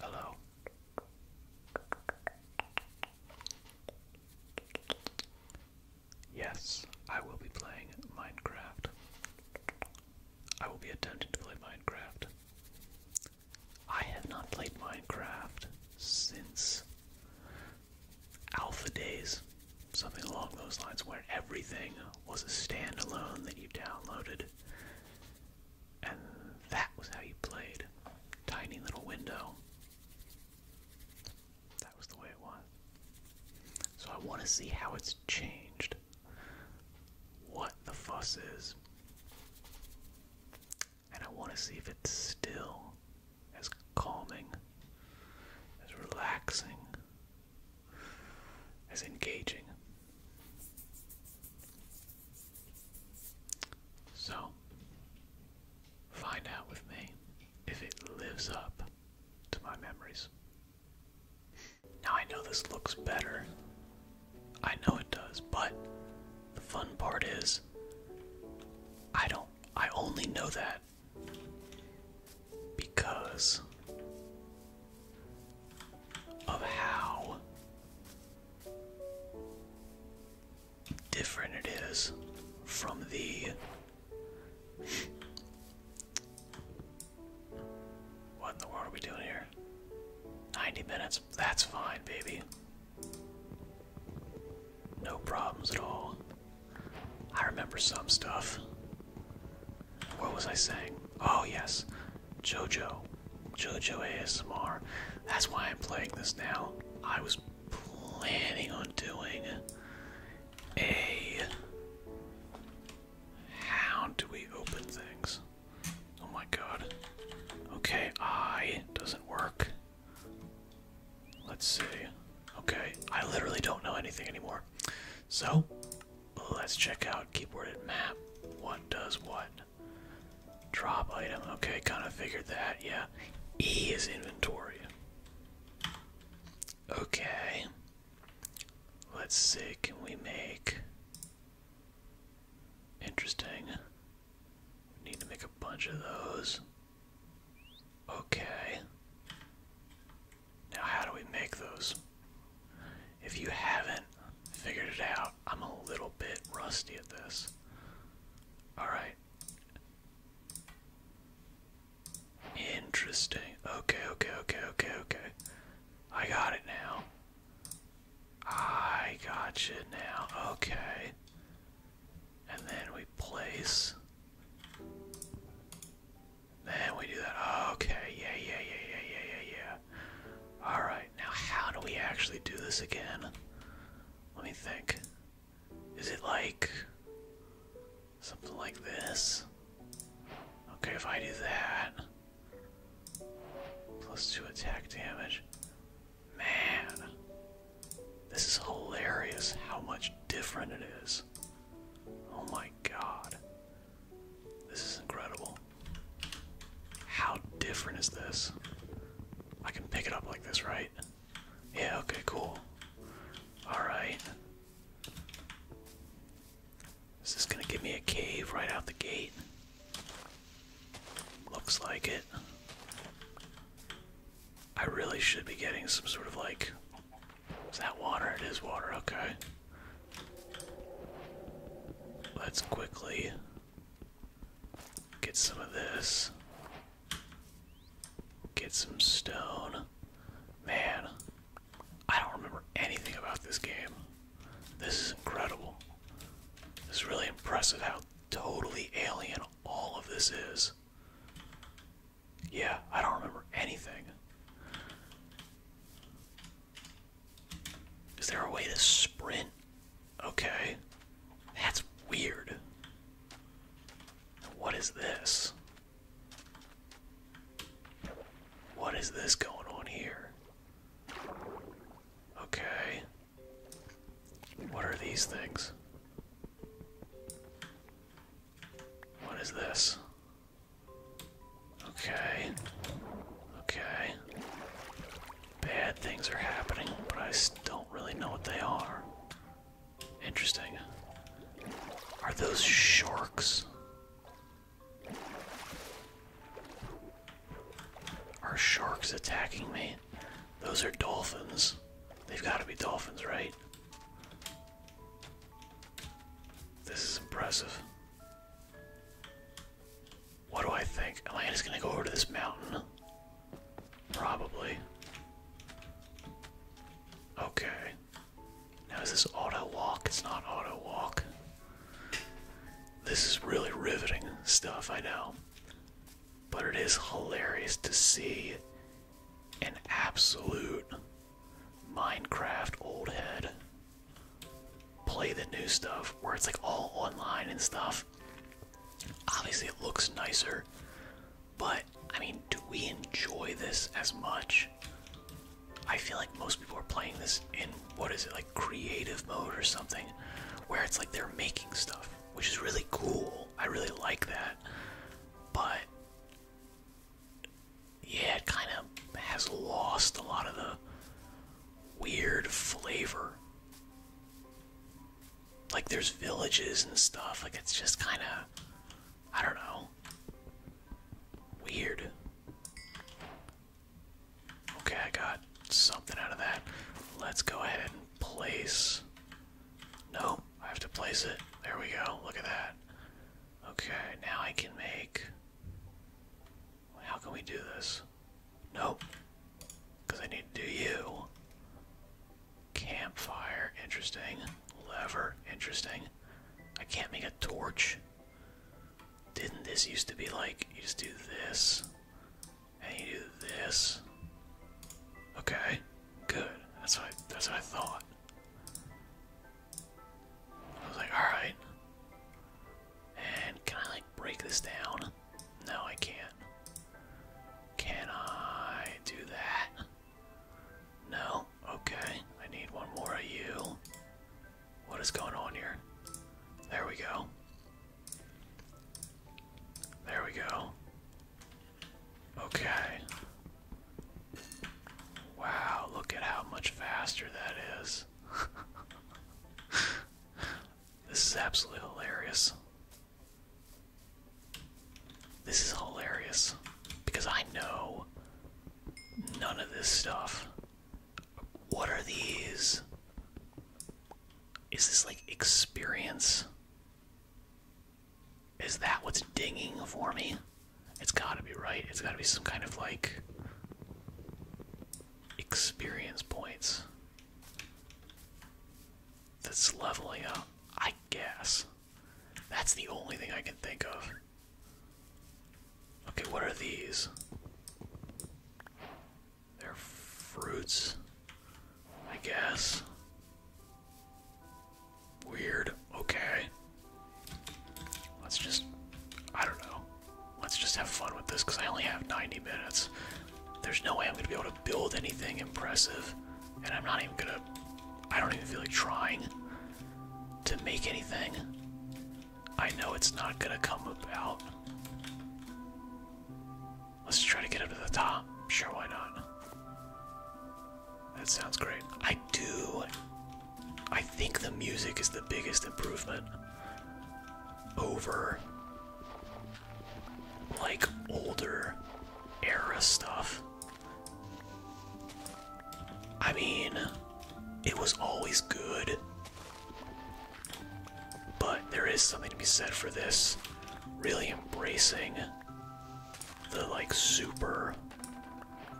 Hello. Yes, I will be playing Minecraft. I will be attempting to play Minecraft. I have not played Minecraft since Alpha Days, something along those lines, where everything was a standalone that you downloaded and that was how you played. Tiny little window. That was the way it was. So I want to see how it's changed. What the fuss is. And I want to see if it's still as calming, as relaxing, as engaging so, find out with me if it lives up to my memories. Now, I know this looks better. I know it does, but the fun part is I don't, I only know that because of how different it is from the what in the world are we doing here 90 minutes that's fine baby no problems at all i remember some stuff what was i saying oh yes JoJo, JoJo ASMR. That's why I'm playing this now. I was planning on doing a. How do we open things? Oh my god. Okay, I doesn't work. Let's see. Okay, I literally don't know anything anymore. So, let's check out keyboard and map. What does what? Drop item. Okay, kind of figured that. Yeah. E is inventory. Okay. Let's see. Can we make. Interesting. need to make a bunch of those. Okay. Now, how do we make those? If you haven't figured it out, I'm a little bit rusty at this. Alright. Interesting. Okay, okay, okay, okay, okay. I got it now. I got you now. Okay. And then we place. Then we do that. Okay, yeah, yeah, yeah, yeah, yeah, yeah. Alright, now how do we actually do this again? Let me think. Is it like something like this? Okay, if I do that. Plus two attack damage. Man. This is hilarious how much different it is. Oh my god. This is incredible. How different is this? I can pick it up like this, right? Yeah, okay, cool. Alright. Is this gonna give me a cave right out the gate? Looks like it. I really should be getting some sort of like. Is that water? It is water, okay. Let's quickly Get some of this. Get some stone. Man, I don't remember anything about this game. This is incredible. This is really impressive how totally alien all of this is. Yeah, I don't remember anything. Is there a way to sprint? Okay. That's weird. What is this? What is this going on here? Okay. What are these things? What is this? Okay. Okay. Bad things are happening, but I don't really know what they are. Interesting. Are those sharks? Are sharks attacking me? Those are dolphins. They've got to be dolphins, right? This is impressive. What do I think? Am I gonna go over to this mountain? Probably. Okay. Now is this auto walk? It's not auto walk. This is really riveting stuff, I know. But it is hilarious to see an absolute Minecraft old head play the new stuff where it's like all online and stuff. Obviously, it looks nicer, but I mean, do we enjoy this as much? I feel like most people are playing this in what is it like creative mode or something where it's like they're making stuff, which is really cool. I really like that, but yeah, it kind of has lost a lot of the weird flavor. Like there's villages and stuff. Like it's just kind of, I don't know, weird. Okay, I got something out of that. Let's go ahead and place. No, I have to place it. There we go. Look at that. Okay, now I can make. How can we do this? Nope. Because I need to do you. Campfire, interesting. Lever, interesting. I can't make a torch. Didn't this used to be like you just do this and you do this? Okay, good. That's what I, that's what I thought. I was like, all right. And can I like break this down? No, I can't. Can I do that? No? Okay. I need one more of you. What is going on here? There we go. There we go. Okay. Wow, look at how much faster that is. This is absolutely hilarious. This is hilarious because I know none of this stuff. What are these? Is this like experience? Is that what's dinging for me? It's gotta be right. It's gotta be some kind of like experience points. That's leveling up, I guess. That's the only thing I can think of. Okay, what are these? They're fruits, I guess. Weird. Okay. Let's just. I don't know. Let's just have fun with this because I only have 90 minutes. There's no way I'm gonna be able to build anything impressive, and I'm not even gonna. I don't even feel like trying to make anything. I know it's not gonna come about. Let's try to get up to the top. Sure, why not? That sounds great. I do. I think the music is the biggest improvement over like older era stuff. I mean, it was always good. But there is something to be said for this really embracing the like super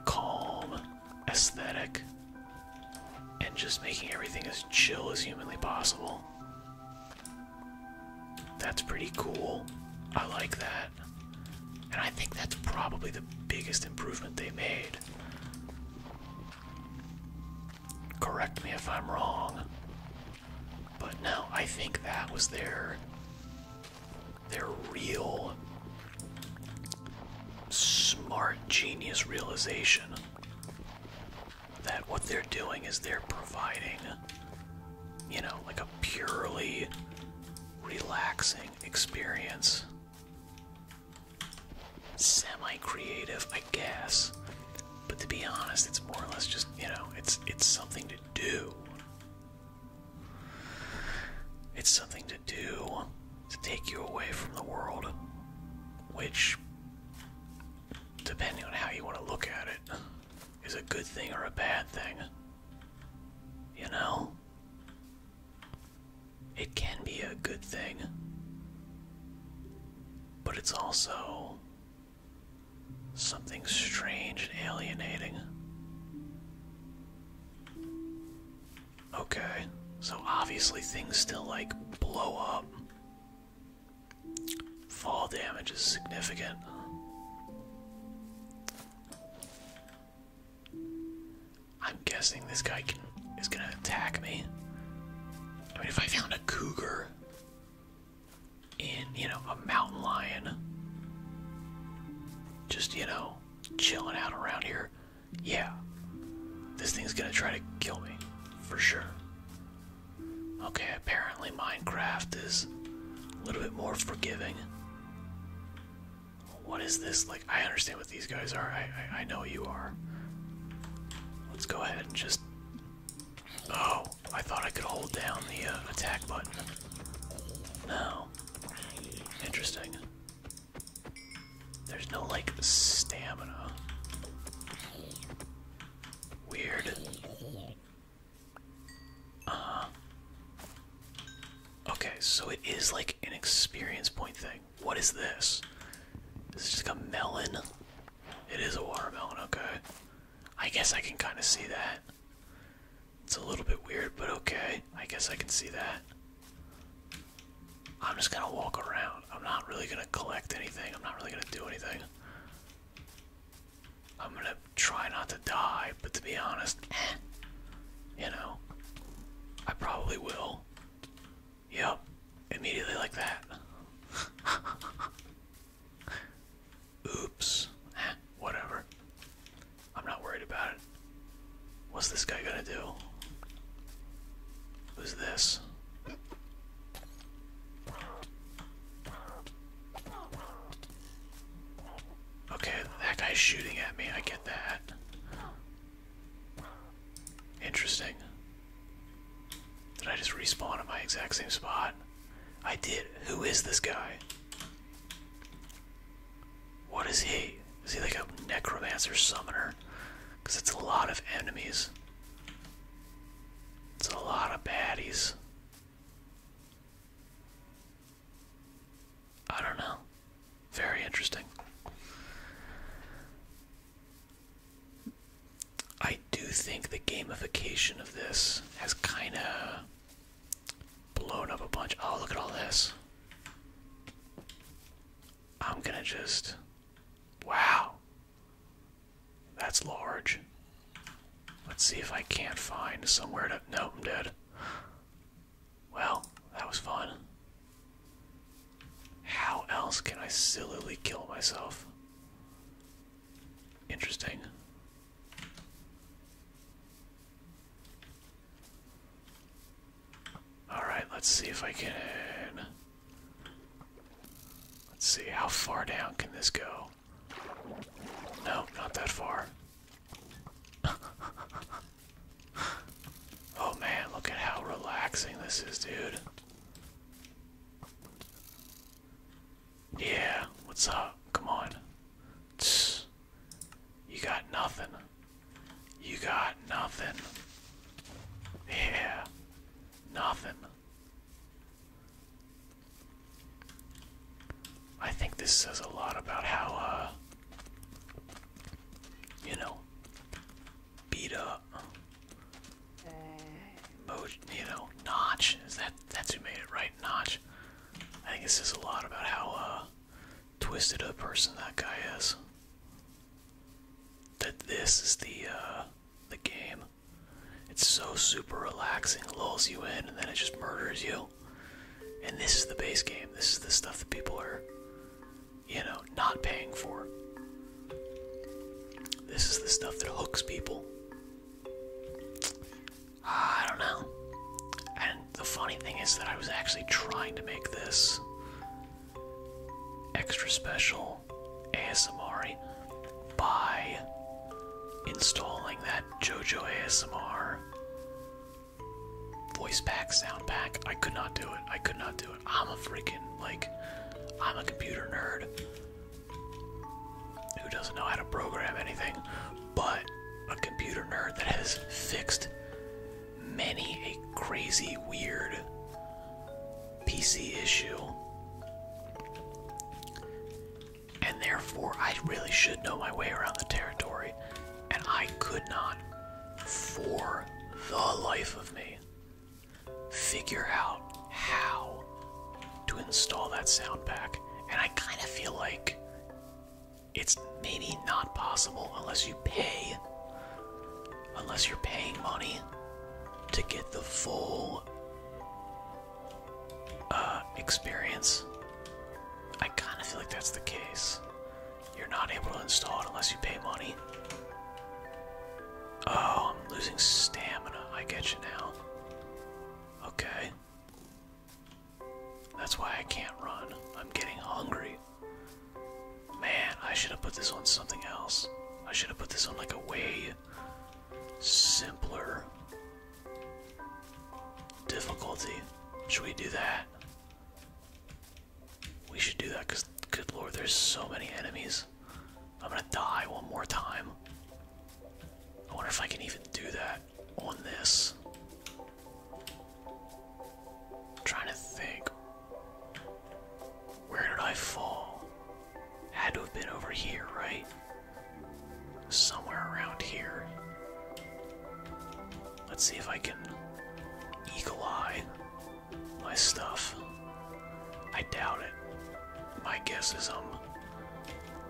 calm aesthetic and just making everything as chill as humanly possible. That's pretty cool. I like that. And I think that's probably the biggest improvement they made. Correct me if I'm wrong. But now I think that was their their real smart genius realization that what they're doing is they're providing, you know, like a purely relaxing experience. Semi creative, I guess. But to be honest, it's more or less just, you know, it's it's something to do. It's something to do to take you away from the world, which depending on how you want to look at it, is a good thing or a bad thing. You know? It can be a good thing, but it's also something strange and alienating. Okay, so obviously things still like blow up. Fall damage is significant. I'm guessing this guy is gonna attack me. I mean, if I found a cougar in, you know, a mountain lion, just, you know, chilling out around here, yeah, this thing's gonna try to kill me, for sure. Okay, apparently Minecraft is a little bit more forgiving. What is this? Like, I understand what these guys are. I, I, I know you are. Let's go ahead and just. Oh, I thought I could hold down the uh, attack button. No. Interesting. There's no, like, stamina. Weird uh Okay, so it is like an experience point thing. What is this? This is just a melon. It is a watermelon, okay. I guess I can kind of see that. It's a little bit weird, but okay. I guess I can see that. I'm just gonna walk around. I'm not really gonna collect anything. I'm not really gonna do anything. I'm gonna try not to die, but to be honest, you know, I probably will. Yep, immediately like that. Oops, whatever. I'm not worried about it. What's this guy gonna do? Who's this? Okay, that guy's shooting at me. I get that. Interesting. Did I just respawn in my exact same spot? I did. Who is this guy? What is he? Is he like a necromancer summoner? Because it's a lot of enemies. It's a lot of baddies. I don't know. Very interesting. I do think the gamification of this has kind of blown up a bunch. Oh, look at all this. I'm gonna just. Wow. That's large. Let's see if I can't find somewhere to. note I'm dead. Well, that was fun. How else can I sillily kill myself? Interesting. Alright, let's see if I can. Let's see, how far down can this go? No, not that far. oh man, look at how relaxing this is, dude. Yeah, what's up? Come on. You got nothing. You got nothing. Yeah. Nothing. I think this says a lot about how, uh, you know, beat up, you know, Notch is that that's who made it, right? Notch. I think it says a lot about how uh, twisted a person that guy is. That this is the uh, the game. It's so super relaxing, lulls you in, and then it just murders you. And this is the base game. This is the stuff that people are, you know, not paying for. This is the stuff that hooks people. Ah, I don't know. And the funny thing is that I was actually trying to make this extra special ASMR by installing that JoJo ASMR voice pack, sound pack. I could not do it. I could not do it. I'm a freaking, like, I'm a computer nerd who doesn't know how to program anything, but a computer nerd that has fixed many a crazy, weird PC issue and therefore I really should know my way around the territory, and I could not, for the life of me, figure out how to install that sound pack. And I kind of feel like it's maybe not possible unless you pay, unless you're paying money to get the full uh, experience. I kind of feel like that's the case. You're not able to install it unless you pay money. Oh, I'm losing stamina. I get you now. Okay. That's why I can't run. I'm getting hungry. Man, I should have put this on something else. I should have put this on like a way simpler Difficulty. Should we do that? We should do that because, good lord, there's so many enemies. I'm gonna die one more time. I wonder if I can even do that on this. I'm trying to think. Where did I fall? Had to have been over here, right? somewhere around here. Let's see if I can eagle eye my stuff. I doubt it. My guess is I'm um,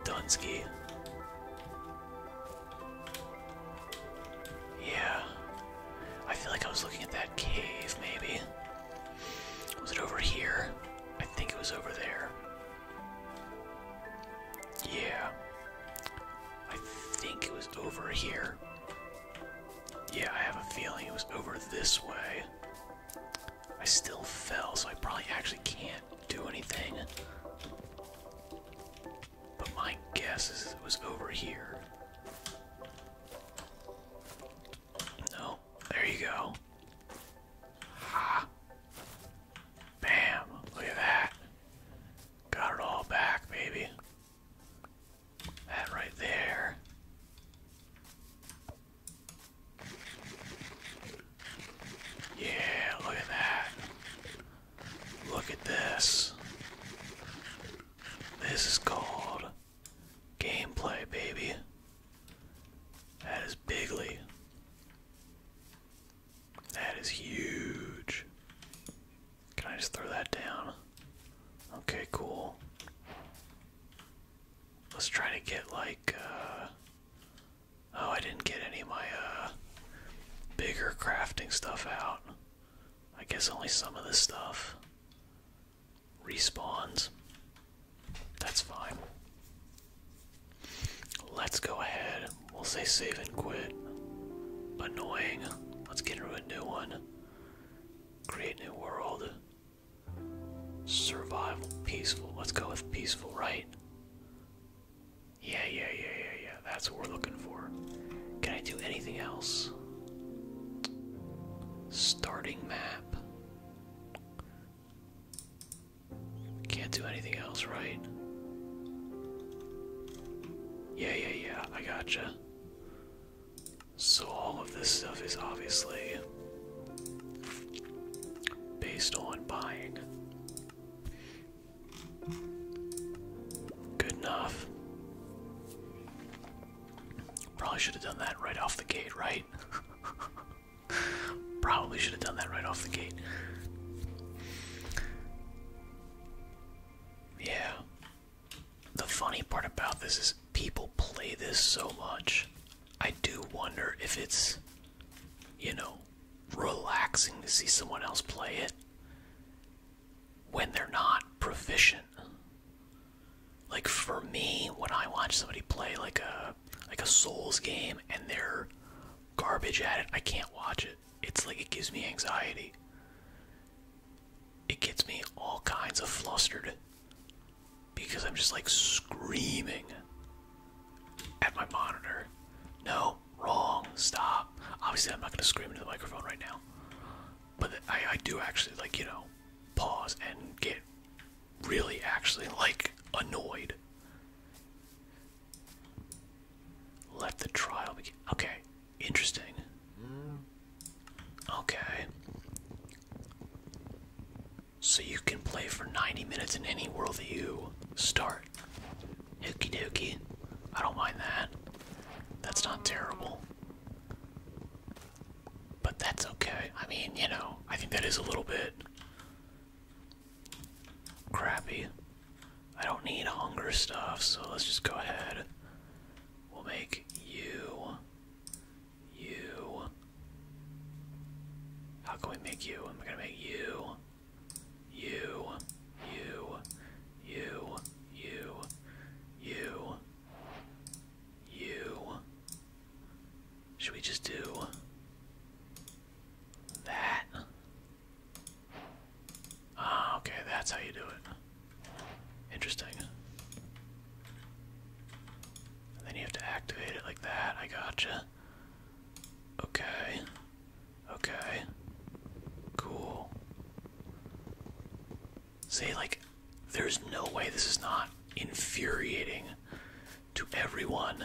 Dunsky. Yeah. I feel like I was looking at that cave, maybe. Was it over here? I think it was over there. Yeah. I think it was over here. Yeah, I have a feeling it was over this way. I still fell, so I probably actually can't do anything. But my guess is it was over here. No, there you go. Bam! Look at that. Got it all back, baby. That right there. Yeah, look at that. Look at this. This is called gameplay, baby. That is bigly. That is huge. Can I just throw that down? Okay, cool. Let's try to get like uh Oh, I didn't get any of my uh bigger crafting stuff out. I guess only some of this stuff respawns. That's fine. Let's go ahead. We'll say save and quit. Annoying. Let's get into a new one. Create new world. Survival. Peaceful. Let's go with peaceful, right? Yeah, yeah, yeah, yeah, yeah. That's what we're looking for. Can I do anything else? Starting map. Can't do anything else, right? Yeah, yeah, yeah, I gotcha. So all of this stuff is obviously based on buying. Good enough. Probably should have done that right off the gate, right? Probably should have done that right off the gate. Yeah. The funny part about this is people play this so much. I do wonder if it's, you know, relaxing to see someone else play it when they're not proficient. Like for me, when I watch somebody play like a uh, like a Souls game and they're garbage at it, I can't watch it. It's like it gives me anxiety. It gets me all kinds of flustered because I'm just like screaming at my monitor. No, wrong, stop. Obviously, I'm not going to scream into the microphone right now, but I do actually like, you know, pause and get really actually like annoyed let the trial begin. Okay, interesting. Okay. So you can play for 90 minutes in any world that you start. Hookey dokie. I don't mind that. That's not terrible. But that's okay. I mean, you know, I think that is a little bit Crappy. I don't need hunger stuff, so let's just go ahead. We'll make you. You. How can we make you? I'm gonna make you. You. You. You. You. You. You. Should we just do that. Ah, okay, that's how you do it. Interesting. then you have to activate it like that. I gotcha. Okay. Okay. Cool. See, like, there's no way this is not infuriating to everyone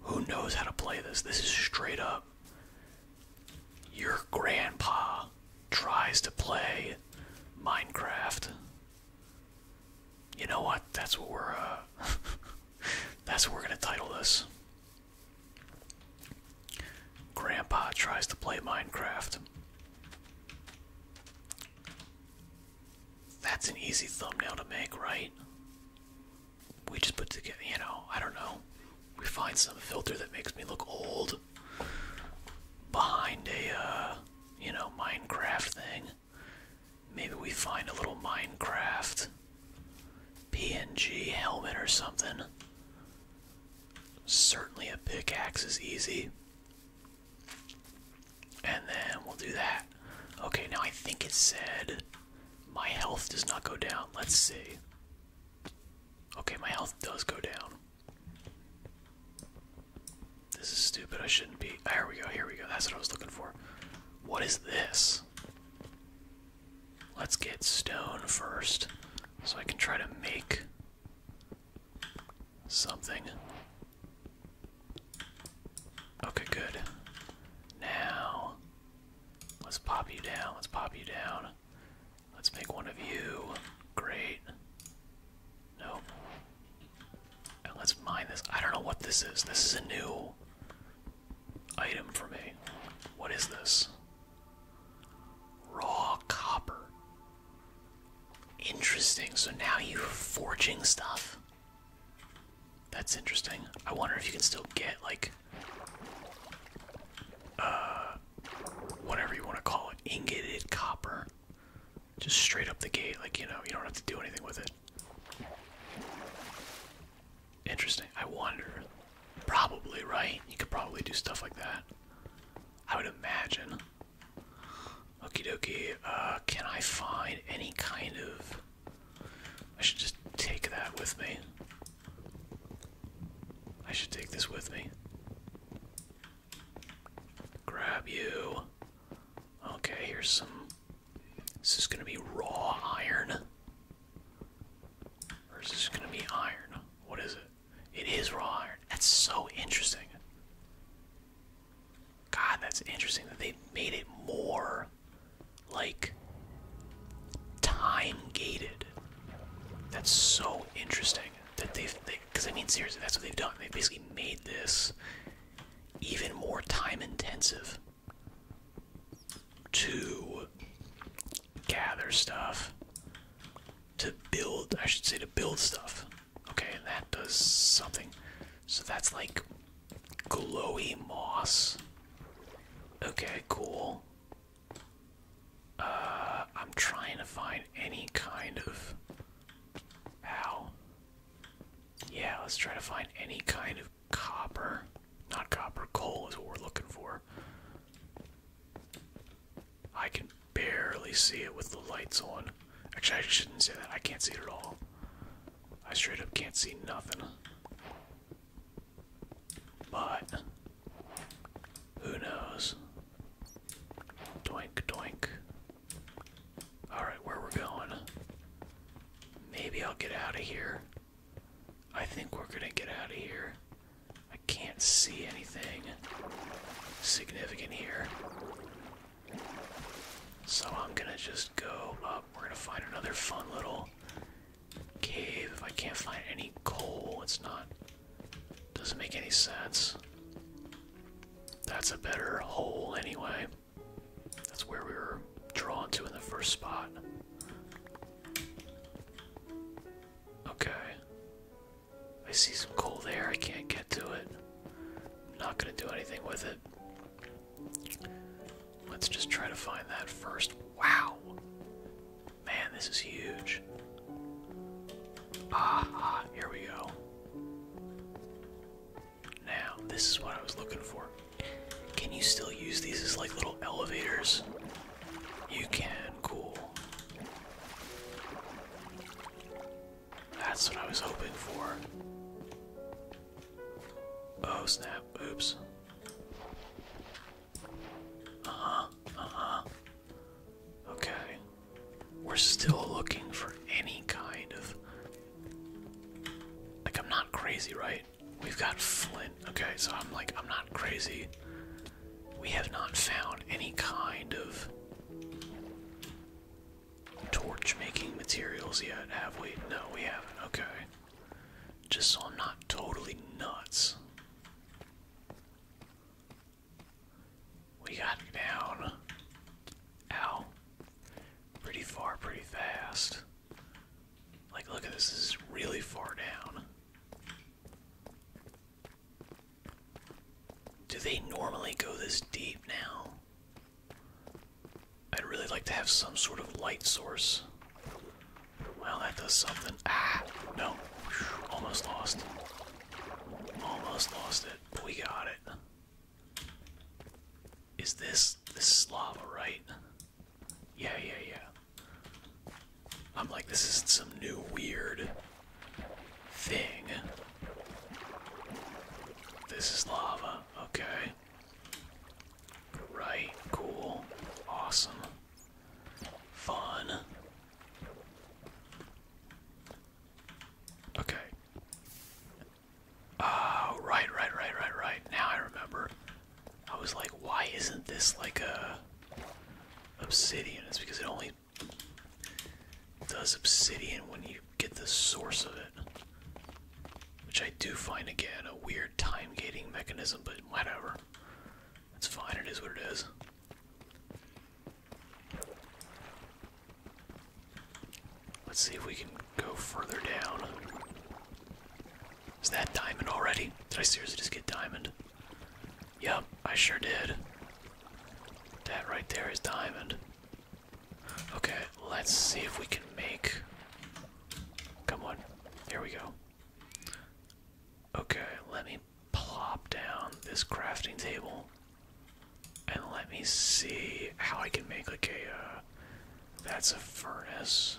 who knows how to play this. This is straight up. Your grandpa tries to play Minecraft. You know what? That's what we're uh that's what we're going to title this. Grandpa tries to play Minecraft. That's an easy thumbnail to make, right? We just put together, you know, I don't know. We find some filter that makes me look old behind a, uh, you know, Minecraft thing. Maybe we find a little Minecraft PNG helmet or something. Certainly a pickaxe is easy. And then we'll do that. Okay, now I think it said my health does not go down. Let's see. Okay, my health does go down. This is stupid. I shouldn't be. Ah, here we go. Here we go. That's what I was looking for. What is this? Let's get stone first so I can try to make something. Okay, good. Now, let's pop you down. Let's pop you down. Let's make one of you. Great. No. And let's mine this. I don't know what this is. This is a new item for me. What is this? Raw copper. Interesting. So now you're forging stuff. That's interesting. I wonder if you can still get like uh whatever you want to call it, ingoted copper. Just straight up the gate, like you know, you don't have to do anything with it. Interesting. I wonder. Probably, right? You could probably do stuff like that. I would imagine. Okey dokey. uh, can I find any kind of I should just take that with me. I should take this with me. Grab you. Okay, here's some. This is gonna be raw iron. Or is this gonna be iron? What is it? It is raw iron. That's so interesting. God, that's interesting that they made it more like time gated. That's so interesting that they've because I mean seriously that's what they've done. They basically made this even more time intensive to gather stuff to build I should say to build stuff. Okay, and that does something. So that's like glowy moss. Okay, cool. Uh, I'm trying to find any kind of. Ow. Yeah, let's try to find any kind of copper. Not copper, coal is what we're looking for. I can barely see it with the lights on. Actually, I shouldn't say that. I can't see it at all. I straight up can't see nothing. But who knows? Doink, doink. Alright, where we're going. Maybe I'll get out of here. I think we're gonna get out of here. I can't see anything significant here. So I'm gonna just go up. We're gonna find another fun little cave if I can't find any coal. It's not. Doesn't make any sense. That's a better hole anyway. That's where we were drawn to in the first spot. Okay. I see some coal there. I can't get to it. I'm not gonna do anything with it. Let's just try to find that first. Wow! Man, this is huge. Ah, here we go. Now, this is what I was looking for. Can you still use these as like little elevators? You can, cool. That's what I was hoping for. Oh snap, oops. Uh-huh, uh-huh. Okay. We're still looking for any kind of like I'm not crazy, right? We've got flint. Okay, so I'm like I'm not crazy. We have not found any kind of torch making materials yet, have we? No, we haven't. Okay. Just so I'm not totally nuts. We got down. Ow. Pretty far, pretty fast. Like, look at this, is really far down. Do they normally go this deep now? I'd really like to have some sort of light source. Well, that does something. Ah, no. Almost lost. Almost lost it, we got it. Is this this lava, right? Yeah, yeah, yeah. I'm like, this isn't some new weird thing. This is lava, okay. Right, cool, awesome, fun. Okay. Oh, right, right, right, right, right. Now I remember. I was like, why isn't this like a obsidian? It's because it only does obsidian when you get the source of it. Which I do find again a weird time gating mechanism, but whatever. It's fine, it is what it is. Let's see if we can go further down. Is that diamond already? Did I seriously just get diamond? Yep, I sure did. That right there is diamond. Okay, let's see if we can make Come on. Here we go. Okay, let me plop down this crafting table. And let me see how I can make like a. Uh, that's a furnace.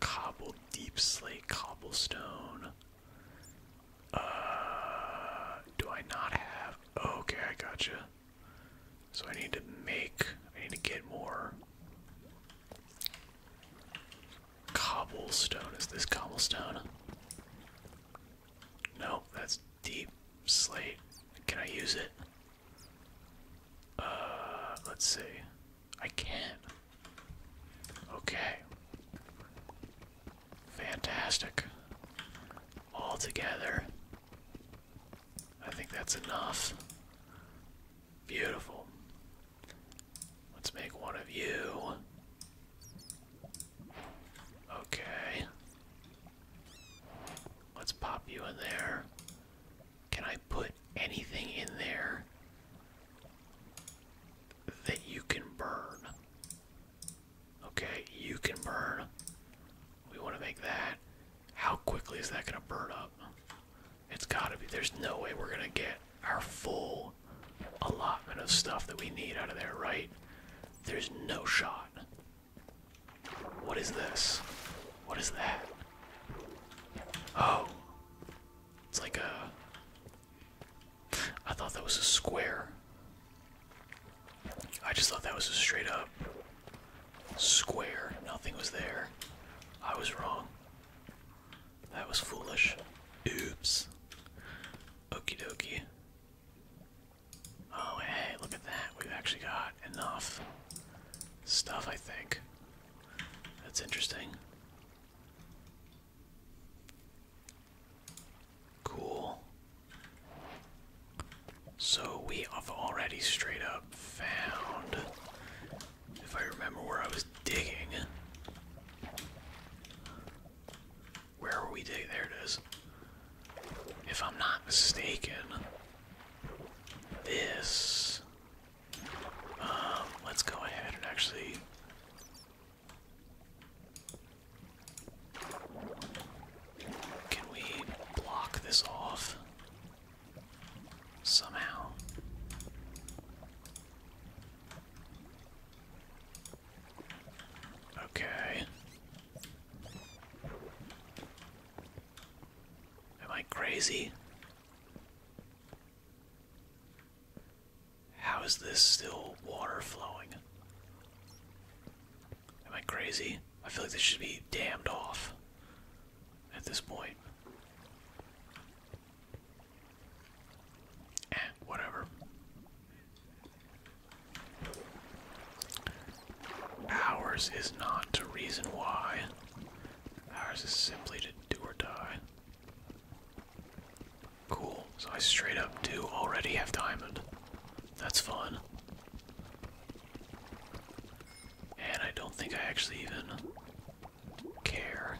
Cobble, deep slate cobblestone. Uh, do I not have? Okay, I gotcha. So I need to make, I need to get more cobblestone. Is this cobblestone? No, that's deep slate. Can I use it? Uh, let's see. I can. not Okay. Fantastic. All together. I think that's enough. Beautiful. Let's make one of you. Okay. Let's pop you in there. Can I put anything in there that you can burn? Okay, you can burn. We want to make that. How quickly is that going to burn up? It's got to be. There's no way we're going to get our full allotment of stuff that we need out of there, right? There's no shot. What is this? What is that? Oh. It's like a. I thought that was a square. I just thought that was a straight up Square. Nothing was there. I was wrong. That was foolish. Oops. Okey dokie. Oh, hey, look at that. We've actually got enough stuff, I think. That's interesting. Cool. So we have already straight up found, if I remember where I was digging. Where were we digging? There it is. If I'm not mistaken, this. Um, let's go ahead and actually. Can we block this off? Somehow. Okay. Am I crazy? How is this still water flowing? Am I crazy? I feel like this should be dammed off at this point. Eh, whatever. Ours is not to reason why. Ours is simply to do or die. Cool. So I straight up do already have diamond. That's fun. And I don't think I actually even care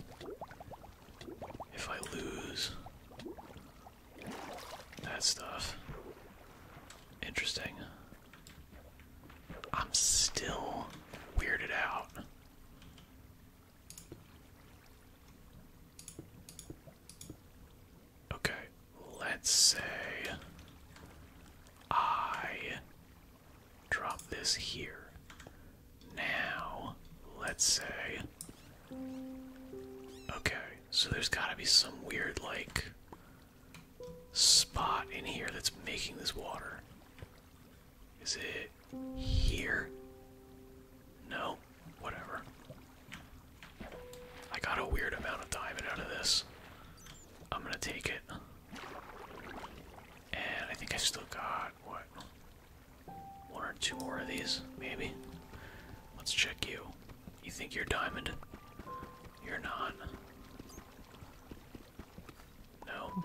if I lose that stuff. Interesting. I'm still weirded out. Okay, let's say I Drop this here. Now, let's say. Okay, so there's gotta be some weird, like, spot in here that's making this water. Is it here? No? Whatever. I got a weird amount of diamond out of this. I'm gonna take it. And I think I still got, what, one or two more of these, maybe? Let's check you. You think you're diamond? You're not. No.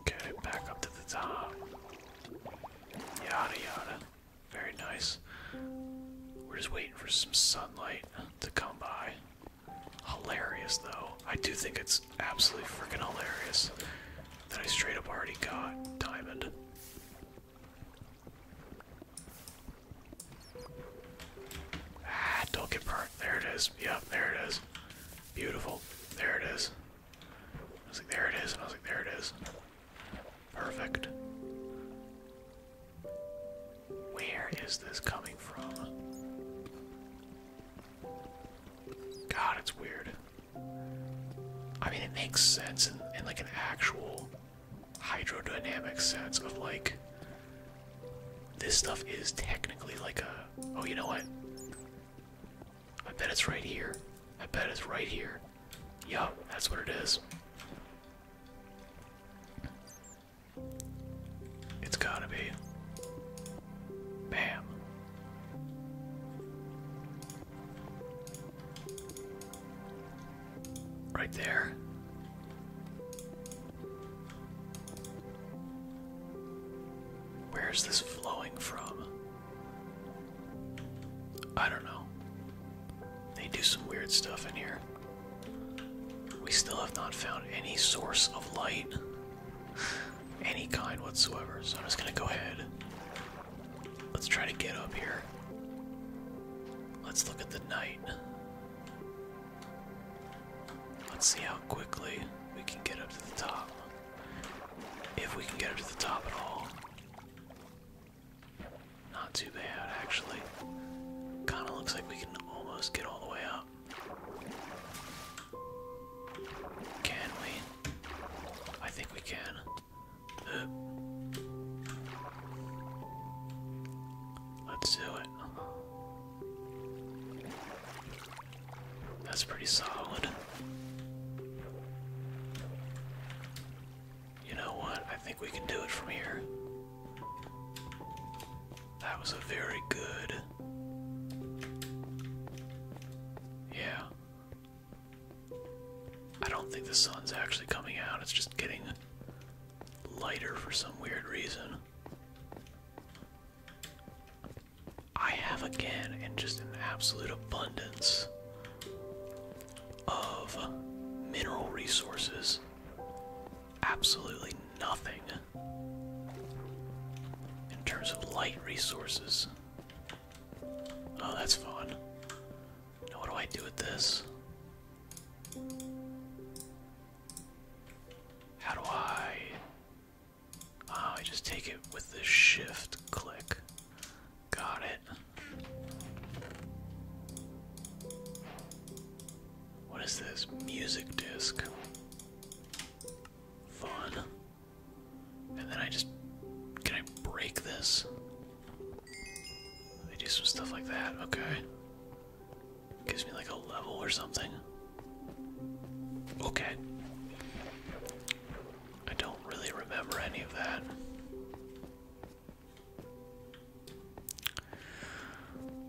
Okay, back up to the top. Yada yada. Very nice. We're just waiting for some sunlight to come by. Hilarious, though. I do think it's absolutely freaking hilarious that I straight up already got diamond. Ah, don't get burnt. There it is. Yep, there it is. Beautiful. There it is. I was like, there it is. I was like, there it is. Perfect. Where is this coming from? God, it's weird. I mean, it makes sense in, like an actual hydrodynamic sense of like this stuff is technically like a oh you know what I bet it's right here I bet it's right here yup that's what it is it's gotta be. Bam. Right there. Where's this flowing from? I don't know. They do some weird stuff in here. We still have not found any source of light, any kind whatsoever. So I'm just gonna go ahead. Let's try to get up here. Let's look at the night. Let's see how quickly we can get up to the top. If we can get up to the top at all. Not too bad, actually. Kind of looks like we can almost get all the way up. Can we? I think we can. Let's do it. That's pretty solid. You know what? I think we can do it from here. That was a very good. Yeah. I don't think the sun's actually coming out, it's just getting lighter for some weird reason. I have again, and just an absolute abundance of mineral resources absolutely nothing in terms of light resources. Oh, that's fun. Now, what do I do with this? How do I. Oh, I just take it with the shift click. Got it. What is this? Music disc. Fun. And then I just. Can I break this? They do some stuff like that. Okay. Gives me like a level or something. Okay. I don't really remember any of that.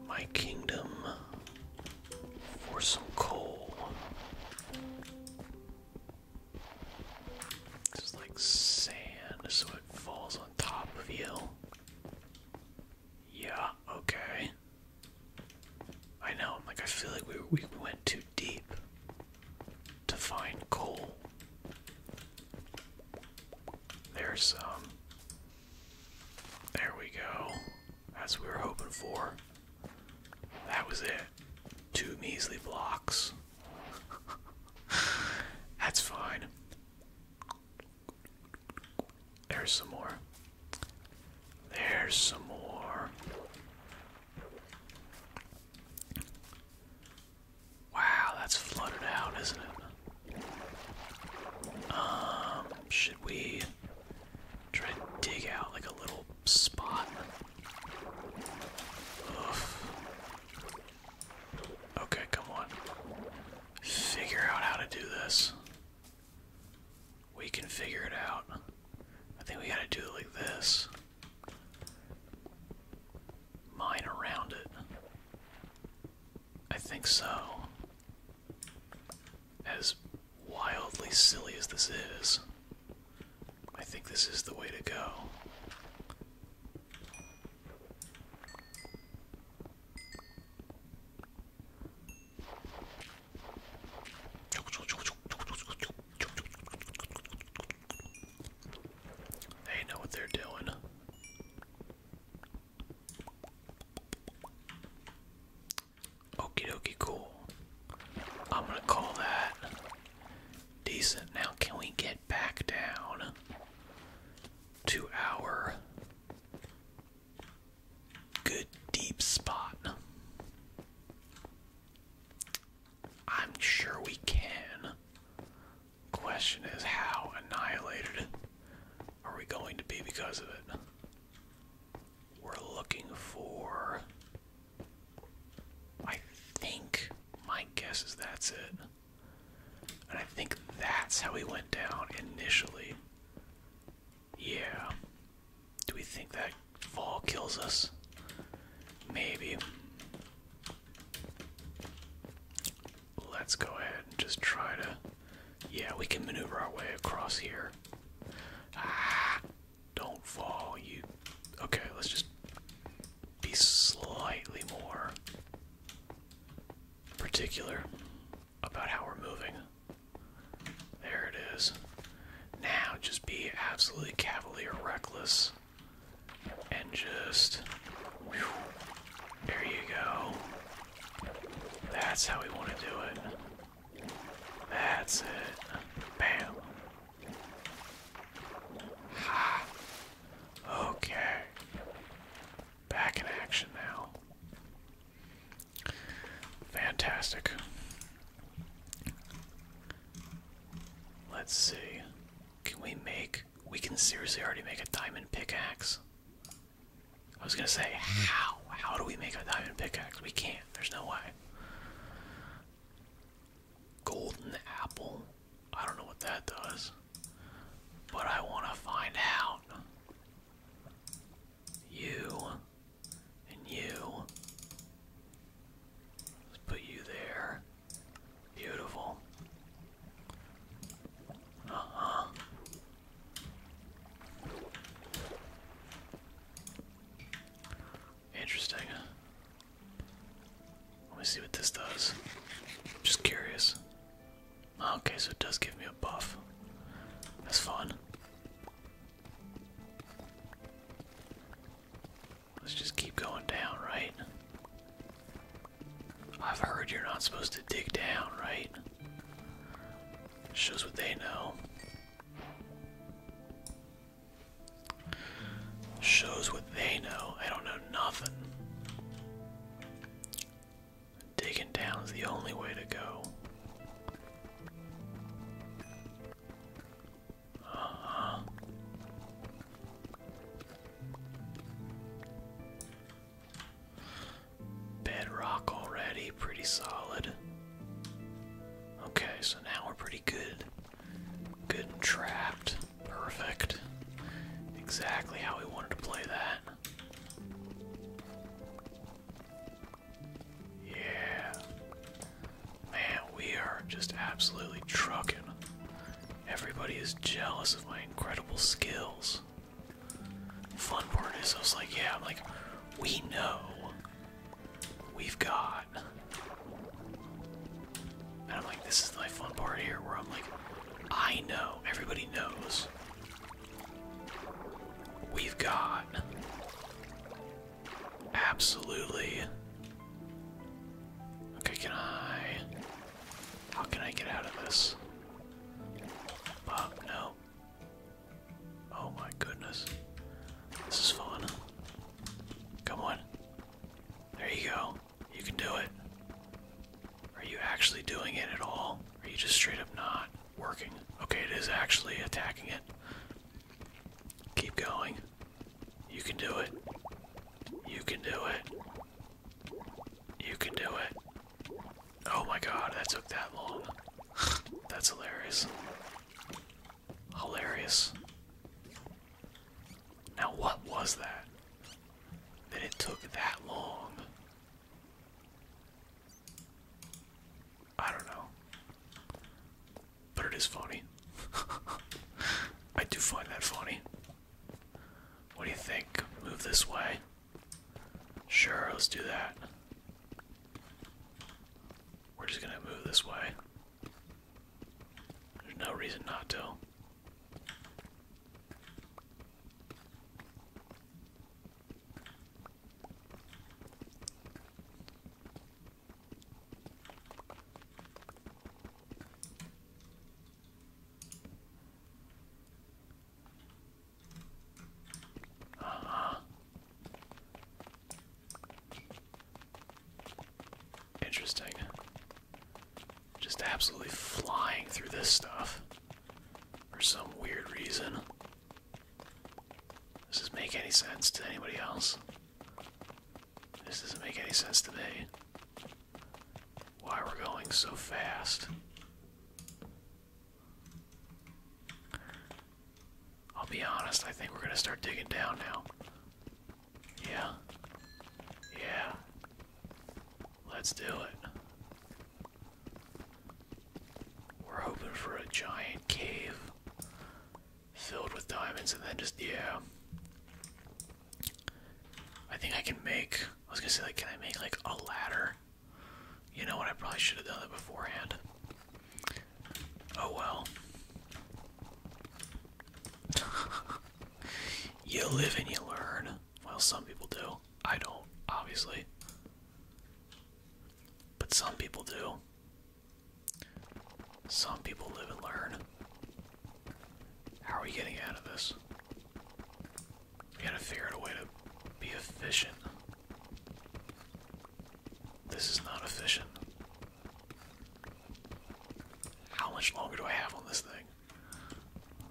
My kingdom for some coal. This like sand, so it falls on top of you. Yeah, okay. I know, I'm like, I feel like we, we went too deep to find coal. There's some. Um, there we go. As we were hoping for. That was it. Two measly blocks. That's fine. There's some more. There's some more. Wow, that's flooded out, isn't it? Um, should we try to dig out like a little spot? Oof. Okay, come on. Figure out how to do this. We can figure it out. I think we gotta do it like this. Mine around it. I think so. As wildly silly as this is, I think this is the way to go. They know what they're doing. Okie dokie, cool. I'm gonna call that decent. Now, can we get back down to our good deep spot? I'm sure we can. Question is, how annihilated are we going to be because of it? We're looking for. I think. My guess is that's it. And I think that's how we went down initially. Yeah. Do we think that fall kills us? Maybe let's go ahead and just try to. Yeah, we can maneuver our way across here. Ah, don't fall, you. Okay, let's just be slightly more particular about how we're moving. There it is. Now just be absolutely cavalier reckless and just. There you go. That's how we want to do it. That's it. Bam. Ha. Okay. Back in action now. Fantastic. Let's see. Can we make. We can seriously already make a diamond pickaxe. I was gonna say, how? How do we make a diamond pickaxe? We can't. There's no way. Golden apple. I don't know what that does. But I want to find out. You. And you. Let's put you there. Beautiful. Interesting. Let me see what this does. Just curious. Okay, so it does give me a buff. That's fun. Let's just keep going down, right? I've heard you're not supposed to dig down, right? Shows what they know. Shows what they know. I don't know nothing. Digging down is the only way to go. Uh-huh. Bedrock already, pretty solid. Okay, so now we're pretty good. Good and trapped. Perfect. Exactly how we wanted to play that. Yeah. Man, we are just absolutely trucking. Everybody is jealous of my incredible skills. Fun part is I was like, yeah, I'm like we know we've got and I'm like, this is my fun part here where I'm like, I know, everybody knows. We've got absolutely Okay, can I how can I get out of this? no. Oh my goodness. This is fun. Come on. There you go. You can do it. Are you actually doing it at all? are you just straight up not working? Okay, it is actually attacking it. Keep going. You can do it. You can do it. You can do it. Oh my god, that took that long. That's hilarious. Hilarious. Now, what was that? That it took that long. I don't know. But it is funny. I do find that funny. What do you think? Move this way. Sure, let's do that. We're just gonna move this way. There's no reason not to. Uh-huh. Interesting. Just absolutely flying through this stuff for some weird reason. This Does not make any sense to anybody else? This doesn't make any sense to me. Why we're going so fast. I'll be honest, I think we're gonna start digging down now. Yeah. Yeah. Let's do it. We're hoping for a giant cave filled with diamonds and then just, yeah. I think I can make, I was gonna say, like, can I make, like, a ladder? You know what? I probably should have done that beforehand. Oh well. you live and you learn. Well, some people do. I don't, obviously. But some people do. Some people live and learn. How are we getting out of this? You gotta figure out a way to be efficient. This is not efficient. How much longer do I have on this thing?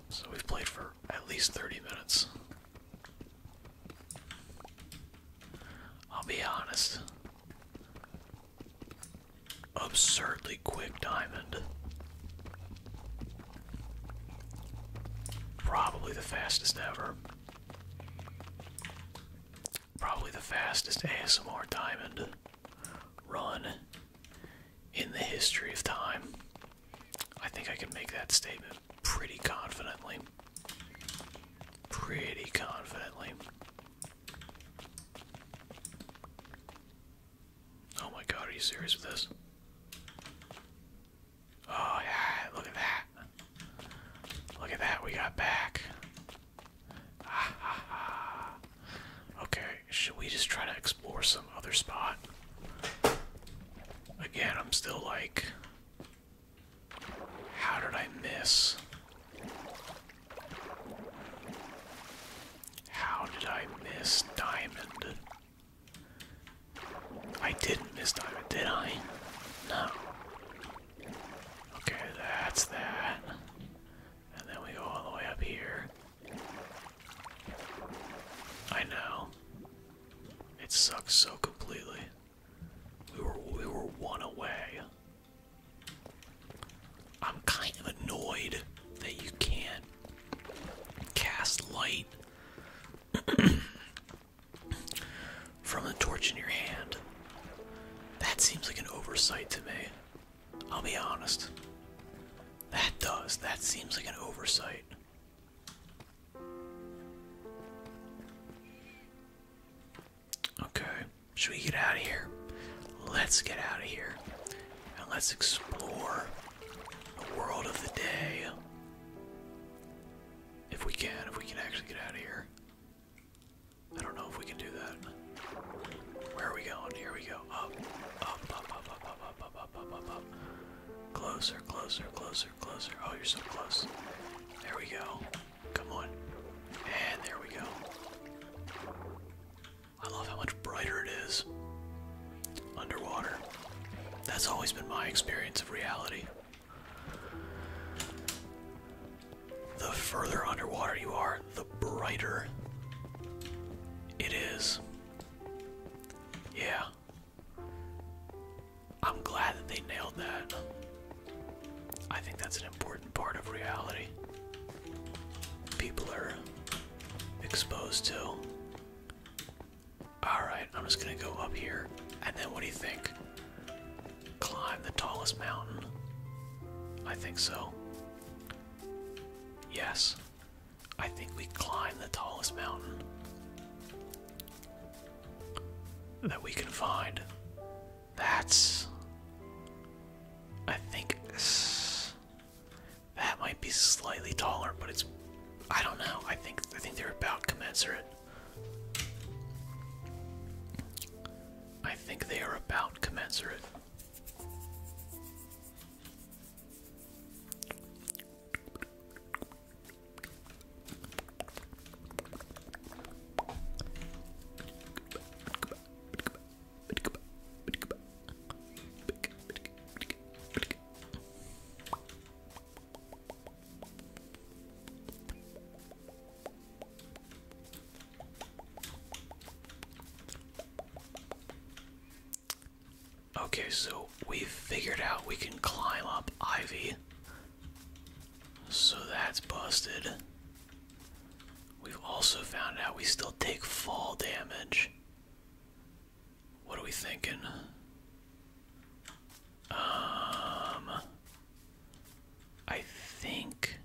So we've played for at least 30 minutes. I'll be honest. Absurdly quick diamond. Probably the fastest ever. Probably the fastest ASMR diamond run in the history of time. I think I can make that statement pretty confidently. Pretty confidently. Oh my god, are you serious with this? Oh yeah, look at that. Look at that, we got back. Ah, okay, should we just try to explore some other spot? Again, I'm still like, how did I miss? How did I miss Diamond? I didn't miss time, did I? No. Okay, that's that. And then we go all the way up here. I know. It sucks so completely. We were we were one away. I'm kind of annoyed that you can't cast light From the torch in your hand. That seems like an oversight to me. I'll be honest. That does. That seems like an oversight. Okay. Should we get out of here? Let's get out of here. And let's explore the World of the day. If we can, if we can actually get out of here. I don't know if we can do that. Where are we going? Here we go. up, up, up, up, up, up, up, up, up, up, up. Closer, closer, closer, closer. Oh, you're so close. There we go. Come on. And there we go. I love how much brighter it is underwater. That's always been my experience of reality. The further underwater you are, the brighter it is. Yeah. I'm glad that they nailed that. I think that's an important part of reality. People are exposed to Alright, I'm just gonna go up here. And then what do you think? Climb the tallest mountain? I think so. Yes. I think we climb the tallest mountain that we can find. That's. I think. That might be slightly taller, but it's I don't know. I think I think they're about commensurate. I think they are about commensurate. Okay, so we've figured out we can climb up Ivy. So that's busted. We've also found out we still take fall damage. What are we thinking? Um, I think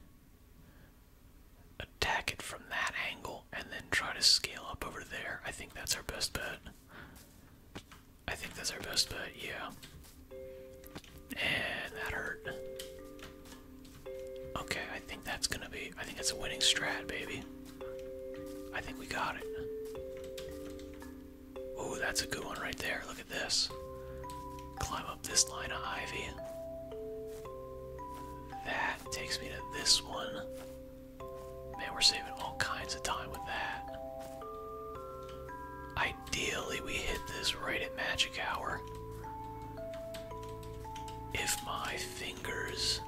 attack it from that angle and then try to scale up over there. I think that's our best bet. I think that's our best bet, yeah. And that hurt. Okay, I think that's gonna be, I think that's a winning strat, baby. I think we got it. Oh, that's a good one right there. Look at this. Climb up this line of ivy. That takes me to this one. Man, we're saving all kinds of time with that. Ideally, we hit this right at magic hour. If my fingers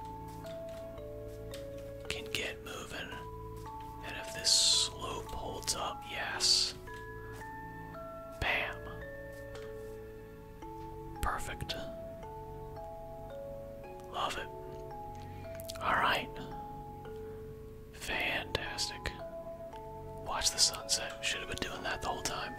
can get moving. And if this slope holds up, yes. Bam. Perfect. Love it. Alright. Fantastic. Watch the sunset. Should have been doing that the whole time.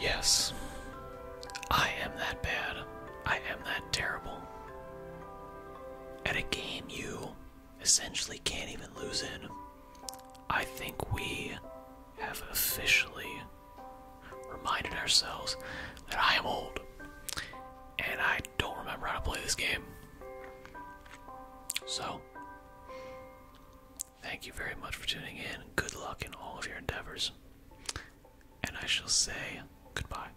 Yes, I am that bad. I am that terrible at a game you essentially can't even lose in, I think we have officially reminded ourselves that I am old and I don't remember how to play this game. So, thank you very much for tuning in. Good luck in all of your endeavors. And I shall say goodbye.